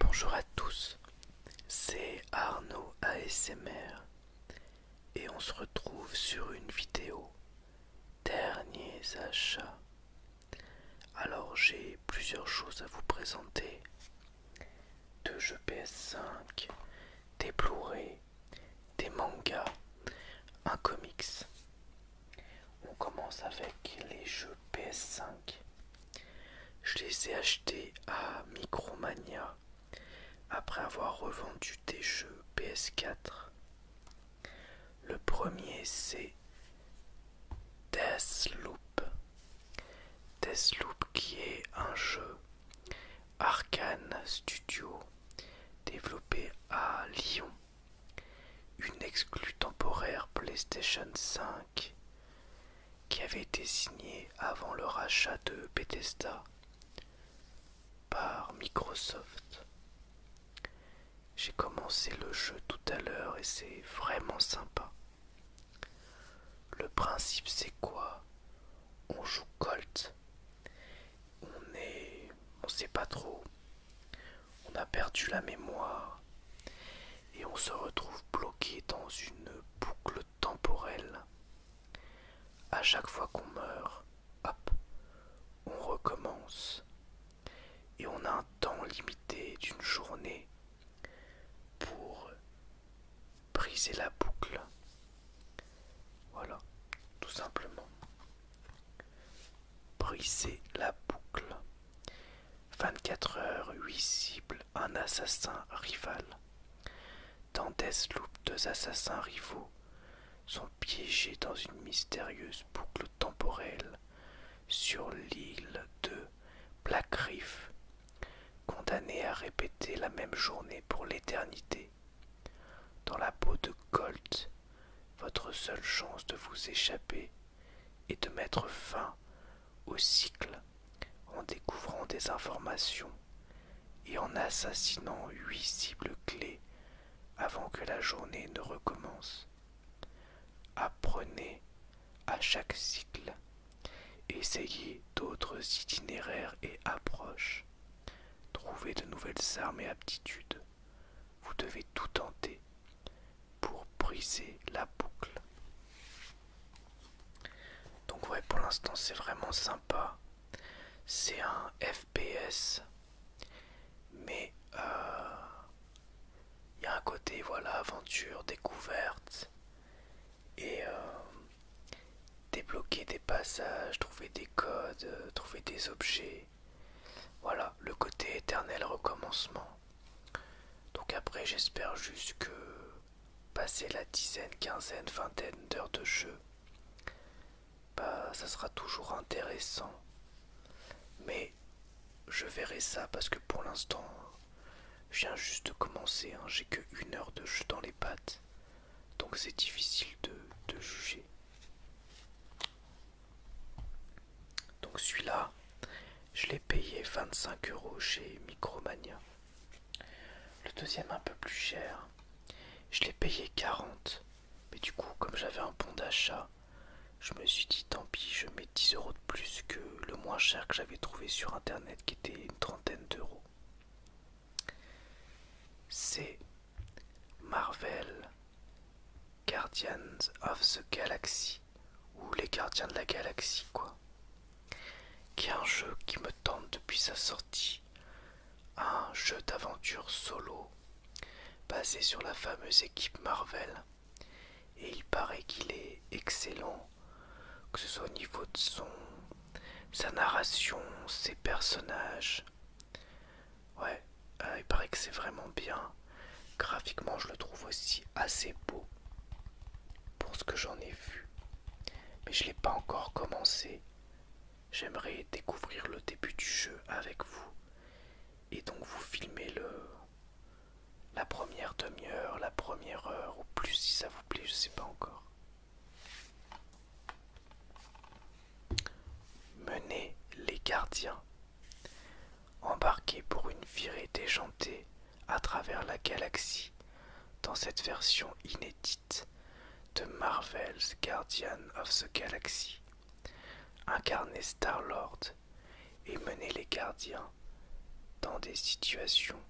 Bonjour à tous, c'est Arnaud ASMR et on se retrouve sur une vidéo derniers achats. Alors j'ai plusieurs choses à vous présenter. Deux jeux PS5, des des mangas, un comics. On commence avec les jeux PS5. Je les ai achetés à Micromania après avoir revendu des jeux PS4. Le premier c'est Deathloop. Deathloop qui est un jeu Arkane Studio, développé à Lyon. Une exclue temporaire PlayStation 5 qui avait été signée avant le rachat de Bethesda par Microsoft. J'ai commencé le jeu tout à l'heure et c'est vraiment sympa. Le principe c'est quoi on joue Colt. On est. On sait pas trop. On a perdu la mémoire. Et on se retrouve bloqué dans une boucle temporelle. À chaque fois qu'on meurt, hop, on recommence. Et on a un temps limité d'une journée pour briser la boucle. Voilà, tout simplement. Briser la boucle. 24 heures, 8 cibles, un assassin rival. Dans Deathloop, deux assassins rivaux sont piégés dans une mystérieuse boucle temporelle sur l'île de Black Reef condamné à répéter la même journée pour l'éternité. Dans la peau de Colt, votre seule chance de vous échapper est de mettre fin au cycle en découvrant des informations et en assassinant huit cibles clés avant que la journée ne recommence. Apprenez à chaque cycle. Essayez d'autres itinéraires et approches. Trouvez de nouvelles armes et aptitudes. Vous devez tout tenter pour briser la boucle. Donc ouais, pour l'instant c'est vraiment sympa. C'est un FPS, mais euh, il y a un côté voilà aventure, découverte et euh, débloquer des passages, trouver des codes, euh, trouver des objets. Voilà, le côté éternel recommencement. Donc après j'espère juste que passer la dizaine, quinzaine, vingtaine d'heures de jeu, bah ça sera toujours intéressant. Mais je verrai ça parce que pour l'instant je viens juste de commencer, hein. j'ai que une heure de jeu dans les pattes. Donc c'est difficile de, juger. Donc celui-là, je l'ai payé 25 euros chez Micromania. Le deuxième un peu plus cher, je l'ai payé 40. Mais du coup, comme j'avais un bon d'achat, je me suis dit tant pis, je mets 10 euros plus que le moins cher que j'avais trouvé sur internet qui était une trentaine d'euros. C'est Marvel Guardians of the Galaxy ou les gardiens de la galaxie quoi. Qui est un jeu qui me tente depuis sa sortie. Un jeu d'aventure solo basé sur la fameuse équipe Marvel et il paraît qu'il est excellent, que ce soit au niveau de son, sa narration, ses personnages. Ouais, euh, il paraît que c'est vraiment bien. Graphiquement, je le trouve aussi assez beau pour ce que j'en ai vu. Mais je ne l'ai pas encore commencé. J'aimerais découvrir le début du jeu avec vous et donc vous filmer le, la première demi-heure, la première heure, ou plus si ça vous plaît, je sais pas encore. Menez les gardiens. Embarquez pour une virée déjantée à travers la galaxie dans cette version inédite de Marvel's Guardian of the Galaxy. Incarnez Star-Lord et mener les gardiens dans des situations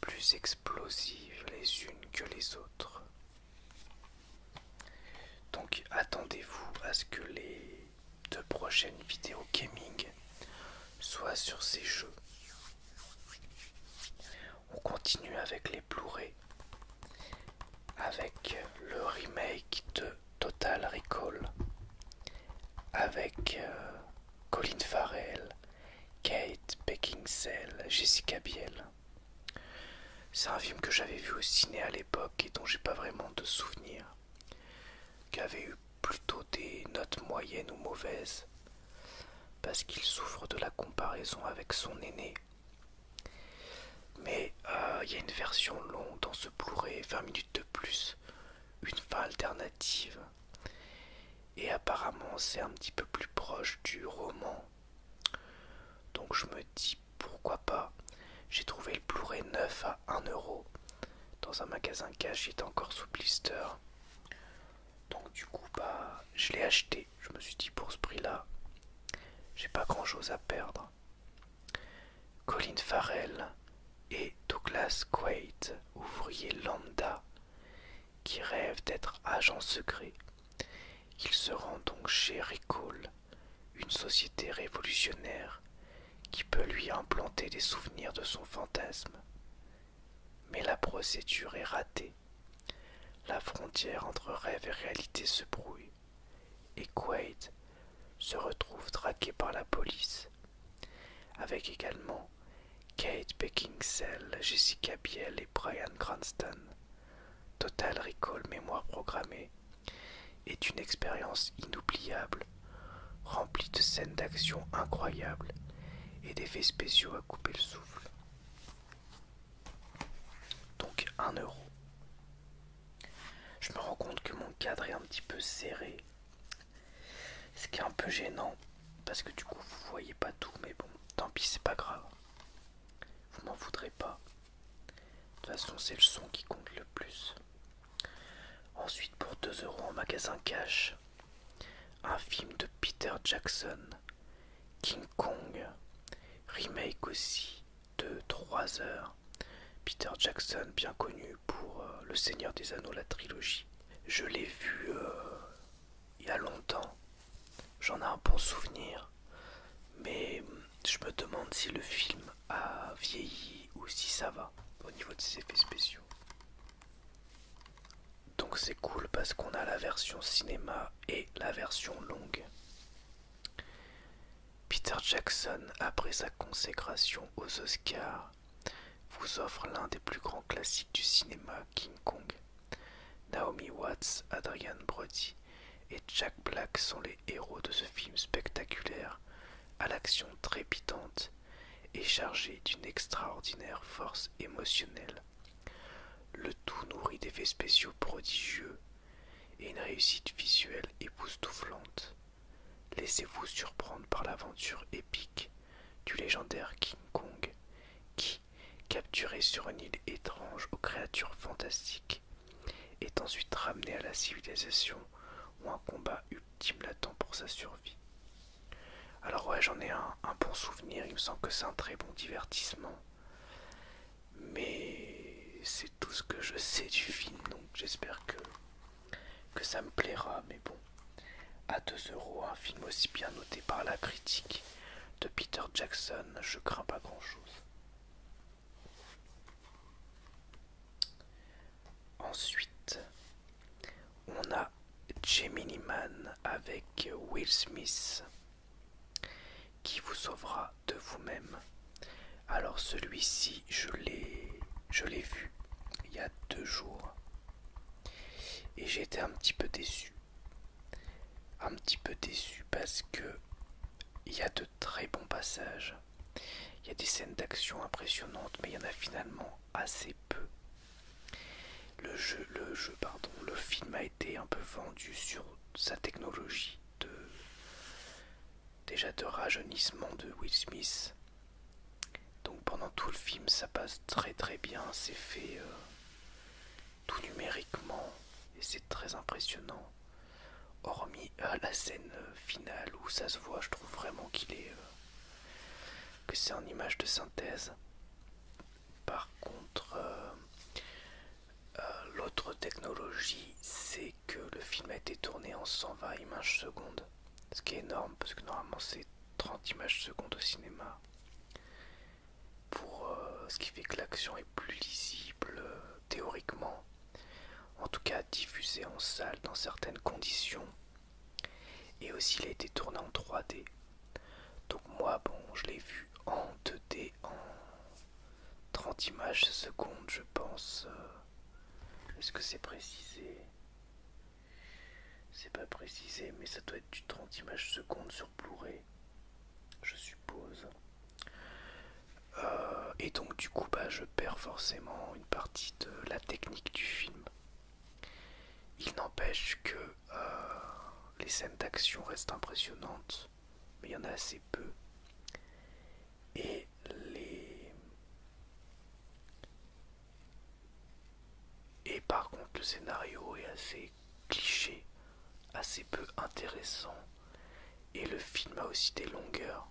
plus explosives les unes que les autres. Donc attendez-vous à ce que les deux prochaines vidéos gaming soient sur ces jeux. On continue avec les Blu-ray, avec le remake de Total Recall avec euh, Colin Farrell, Kate Beckinsale, Jessica Biel. C'est un film que j'avais vu au ciné à l'époque et dont j'ai pas vraiment de souvenir, qui avait eu plutôt des notes moyennes ou mauvaises, parce qu'il souffre de la comparaison avec son aîné. Mais euh, il y a une version longue dans ce Blu-ray, 20 minutes de plus, une fin alternative. Et apparemment, c'est un petit peu plus proche du roman. Donc je me dis pourquoi pas. J'ai trouvé le Blu-ray neuf à 1 euro dans un magasin cash, qui encore sous blister. Donc du coup, bah, je l'ai acheté. Je me suis dit pour ce prix-là, j'ai pas grand-chose à perdre. Colin Farrell et Douglas Quaid, ouvrier lambda, qui rêve d'être agent secret. Il se rend donc chez Recall, une société révolutionnaire qui peut lui implanter des souvenirs de son fantasme. Mais la procédure est ratée. La frontière entre rêve et réalité se brouille, et Quaid se retrouve traqué par la police, avec également Kate Beckinsale, Jessica Biel et Brian Cranston. Total Recall Mémoire Programmée est une expérience inoubliable, remplie de scènes d'action incroyables et d'effets spéciaux à couper le souffle. Donc 1 euro. Je me rends compte que mon cadre est un petit peu serré. Ce qui est un peu gênant. Parce que du coup vous voyez pas tout. Mais bon, tant pis, c'est pas grave. Vous m'en voudrez pas. De toute façon, c'est le son qui compte le plus. Ensuite, pour 2 euros en magasin cash, un film de Peter Jackson, King Kong, remake aussi de 3 heures. Peter Jackson, bien connu pour euh, Le Seigneur des Anneaux, la trilogie. Je l'ai vu euh, il y a longtemps. J'en ai un bon souvenir. Mais mm, je me demande si le film a vieilli ou si ça va au niveau de ses effets spéciaux. Donc c'est cool parce qu'on a la version cinéma et la version longue. Peter Jackson, après sa consécration aux Oscars, vous offre l'un des plus grands classiques du cinéma, King Kong. Naomi Watts, Adrian Brody et Jack Black sont les héros de ce film spectaculaire, à l'action trépidante et chargé d'une extraordinaire force émotionnelle. Le tout nourrit d'effets spéciaux prodigieux et une réussite visuelle époustouflante. Laissez-vous surprendre par l'aventure épique du légendaire King Kong, qui, capturé sur une île étrange aux créatures fantastiques, est ensuite ramené à la civilisation où un combat ultime l'attend pour sa survie. Alors ouais, j'en ai un, bon souvenir, il me semble que c'est un très bon divertissement. Mais c'est tout ce que je sais du film, donc j'espère que, ça me plaira. Mais bon, à 2 euros, un film aussi bien noté par la critique de Peter Jackson, je crains pas grand-chose. Ensuite, on a Gemini Man avec Will Smith qui vous sauvera de vous-même. Alors celui-ci, je l'ai je l'ai vu il y a deux jours. Et j'ai été un petit peu déçu. Un petit peu déçu parce que il y a de très bons passages. Il y a des scènes d'action impressionnantes, mais il y en a finalement assez peu. Le jeu, le jeu, pardon, le film a été un peu vendu sur sa technologie de, déjà de rajeunissement de Will Smith. Donc pendant tout le film, ça passe très très bien, c'est fait euh, tout numériquement et c'est très impressionnant. Hormis à euh, la scène euh, finale où ça se voit, je trouve vraiment qu'il est que c'est en image de synthèse. Par contre, euh, l'autre technologie, c'est que le film a été tourné en 120 images secondes, ce qui est énorme parce que normalement c'est 30 images secondes au cinéma. Pour euh, ce qui fait que l'action est plus lisible euh, théoriquement, en tout cas diffusée en salle dans certaines conditions, et aussi il a été tourné en 3D. Donc moi bon, je l'ai vu en 2D en 30 images seconde, je pense. Est-ce que c'est précisé C'est pas précisé, mais ça doit être du 30 images seconde sur Blu-ray, je suppose. Euh, et donc du coup, bah, je perds forcément une partie de la technique du film. Il n'empêche que euh, les scènes d'action restent impressionnantes mais il y en a assez peu. Et les. Et par contre, le scénario est assez cliché, assez peu intéressant. Et le film a aussi des longueurs.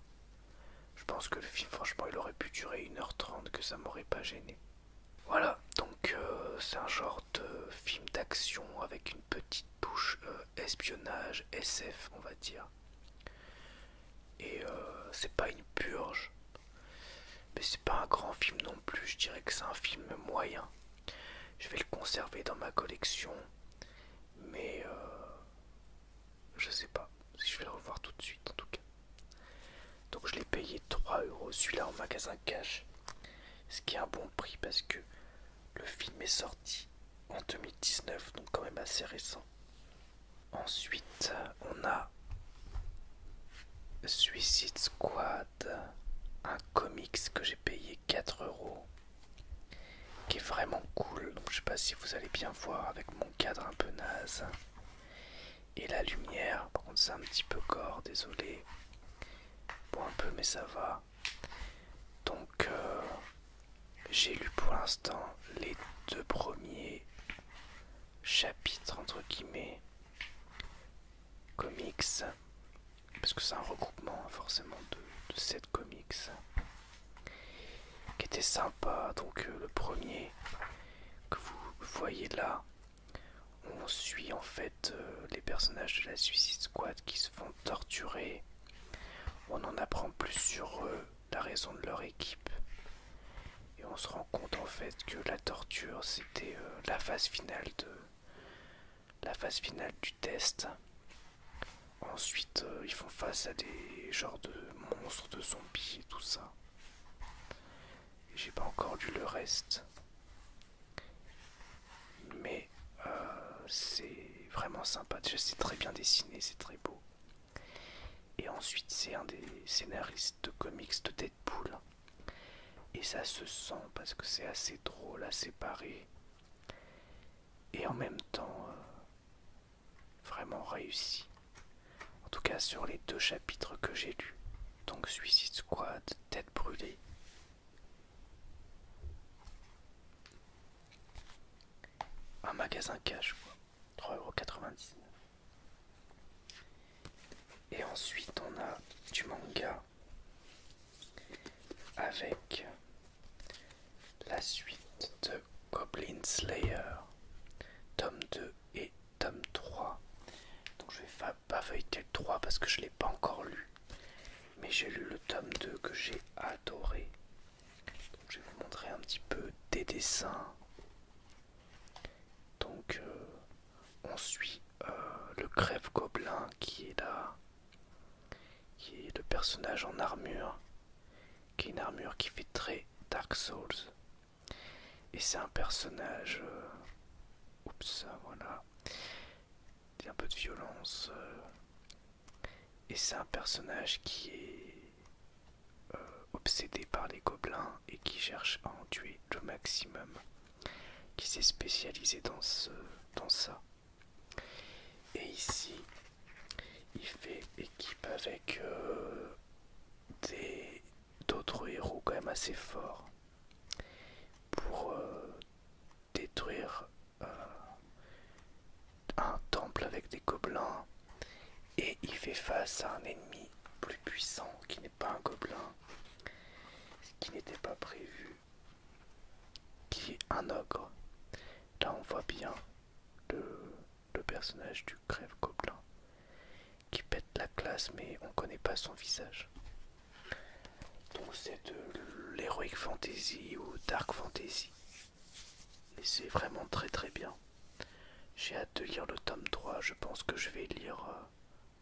Je pense que le film, franchement, il aurait pu durer 1h30, que ça m'aurait pas gêné. Voilà, donc euh, c'est un genre de film d'action avec une petite bouche euh, espionnage, SF, on va dire. Et euh, c'est pas une purge, mais c'est pas un grand film non plus. Je dirais que c'est un film moyen. Je vais le conserver dans ma collection, mais euh, je sais pas si je vais le revoir tout de suite en tout cas. Donc je l'ai payé 3 euros celui-là en magasin cash, ce qui est un bon prix parce que le film est sorti en 2019, donc quand même assez récent. Ensuite, on a Suicide Squad, un comics que j'ai payé 4 euros, qui est vraiment cool. Je je sais pas si vous allez bien voir avec mon cadre un peu naze. Et la lumière, par contre, c'est un petit peu gore, désolé. pour un peu, mais ça va. Donc euh, j'ai lu pour l'instant les deux premiers chapitres entre guillemets comics parce que c'est un regroupement hein, forcément de, 7 comics qui était sympa donc euh, le premier que vous voyez là on suit en fait euh, les personnages de la Suicide Squad qui se font torturer. On en apprend plus sur eux, la raison de leur équipe. Et on se rend compte en fait que la torture c'était euh, la phase finale de la phase finale du test. Ensuite euh, ils font face à des genres de monstres, de zombies et tout ça. J'ai pas encore lu le reste mais euh, c'est vraiment sympa. Déjà, c'est très bien dessiné, c'est très beau. Et ensuite, c'est un des scénaristes de comics de Deadpool. Et ça se sent parce que c'est assez drôle, à séparer. Et en même temps, euh, vraiment réussi. En tout cas, sur les deux chapitres que j'ai lus, donc Suicide Squad, Tête brûlée, un magasin cash, quoi. 3,99€. Et ensuite, on a du manga avec la suite de Goblin Slayer, tome 2 et tome 3. Donc, je vais pas feuilleté 3 parce que je l'ai pas encore lu. Mais j'ai lu le tome 2 que j'ai adoré. je vais vous montrer un petit peu des dessins. Donc euh, on suit euh, le crève gobelin qui est là, qui est le personnage en armure, qui est une armure qui fait très Dark Souls. Et c'est un personnage... Euh, oups, ça voilà. Il a un peu de violence. Euh, et c'est un personnage qui est euh, obsédé par les gobelins et qui cherche à en tuer le maximum. Qui s'est spécialisé dans, ça. Et ici, il fait équipe avec euh, des d'autres héros quand même assez forts pour euh, détruire euh, un temple avec des gobelins et il fait face à un ennemi plus puissant qui n'est pas un gobelin ce qui n'était pas prévu qui est un ogre là on voit bien le, personnage du crève gobelin qui pète la classe, mais on connaît pas son visage. Donc c'est de l'héroïque fantasy ou dark fantasy. Et c'est vraiment très très bien. J'ai hâte de lire le tome 3, je pense que je vais lire euh,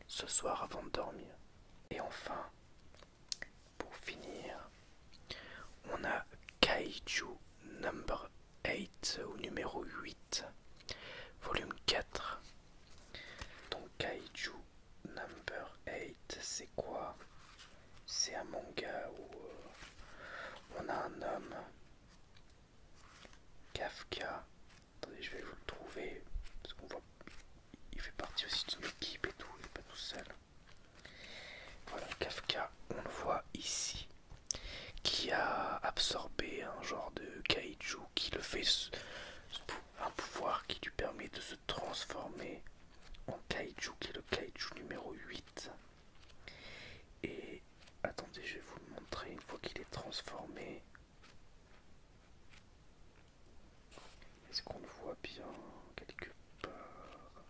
ce soir avant de dormir. Et enfin, pour finir, on a Kaiju Number 8 ou numéro 8, volume 4 donc Kaiju Number 8, c'est quoi C'est un manga où euh, on a un homme, Kafka. Attendez, je vais vous le trouver parce qu'on voit, il fait partie aussi d'une équipe et tout, il n'est pas tout seul. Voilà, Kafka, on le voit ici, qui a absorbé un genre de kaiju qui le fait un pouvoir qui lui permet de se transformer en kaiju qui est le kaiju numéro 8 et attendez je vais vous le montrer une fois qu'il est transformé est-ce qu'on le voit bien quelque part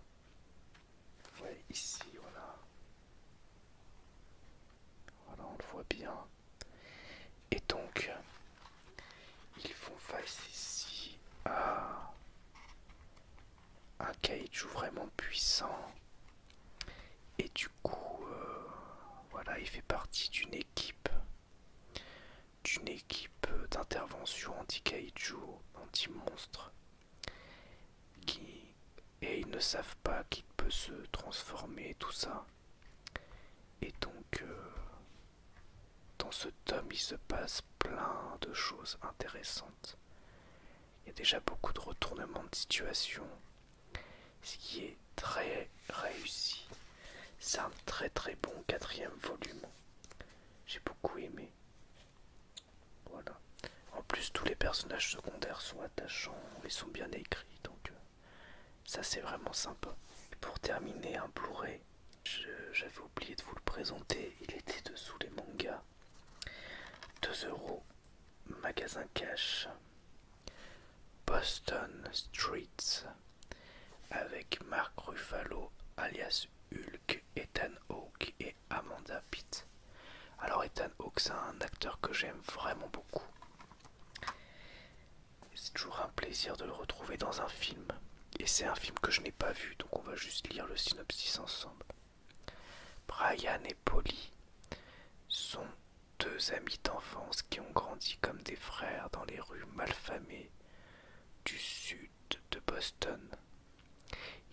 ouais ici voilà voilà, on le voit bien. Et donc, ils font face ici à un kaiju vraiment puissant. Et du coup, euh, voilà, il fait partie d'une équipe d'une équipe d'intervention anti-kaiju, anti-monstre, qui et ils ne savent pas qui peut se transformer, tout ça. Et donc, euh, dans ce tome, il se passe plein de choses intéressantes. Il y a déjà beaucoup de retournements de situation, ce qui est très réussi. C'est un très très bon quatrième volume. J'ai beaucoup aimé. Voilà. En plus, tous les personnages secondaires sont attachants et sont bien écrits donc euh, ça c'est vraiment sympa pour terminer un Blu-ray j'avais oublié de vous le présenter il était dessous les mangas 2 euros magasin cash Boston Streets avec Mark Ruffalo alias Hulk Ethan Hawke et Amanda Pitt alors Ethan Hawke, c'est un acteur que j'aime vraiment beaucoup. C'est toujours un plaisir de le retrouver dans un film. Et c'est un film que je n'ai pas vu, donc on va juste lire le synopsis ensemble. Brian et Polly sont deux amis d'enfance qui ont grandi comme des frères dans les rues malfamées du sud de Boston.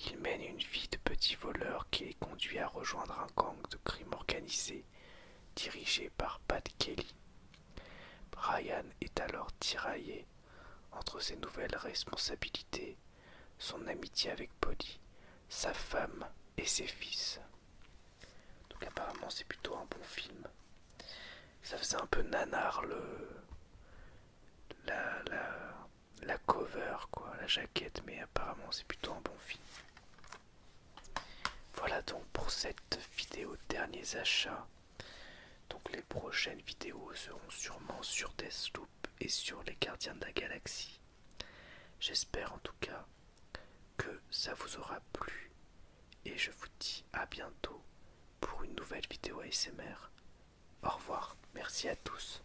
Ils mènent une vie de petits voleurs qui les conduit à rejoindre un camp de crime organisé dirigé par Pat Kelly. Brian est alors tiraillé entre ses nouvelles responsabilités, son amitié avec Polly, sa femme et ses fils. Donc apparemment c'est plutôt un bon film. Ça faisait un peu nanar le... La, la, la cover, quoi, la jaquette, mais apparemment c'est plutôt un bon film. Voilà donc pour cette vidéo derniers achats. Donc les prochaines vidéos seront sûrement sur Deathloop et sur les gardiens de la galaxie. J'espère en tout cas que ça vous aura plu et je vous dis à bientôt pour une nouvelle vidéo ASMR. Au revoir, merci à tous.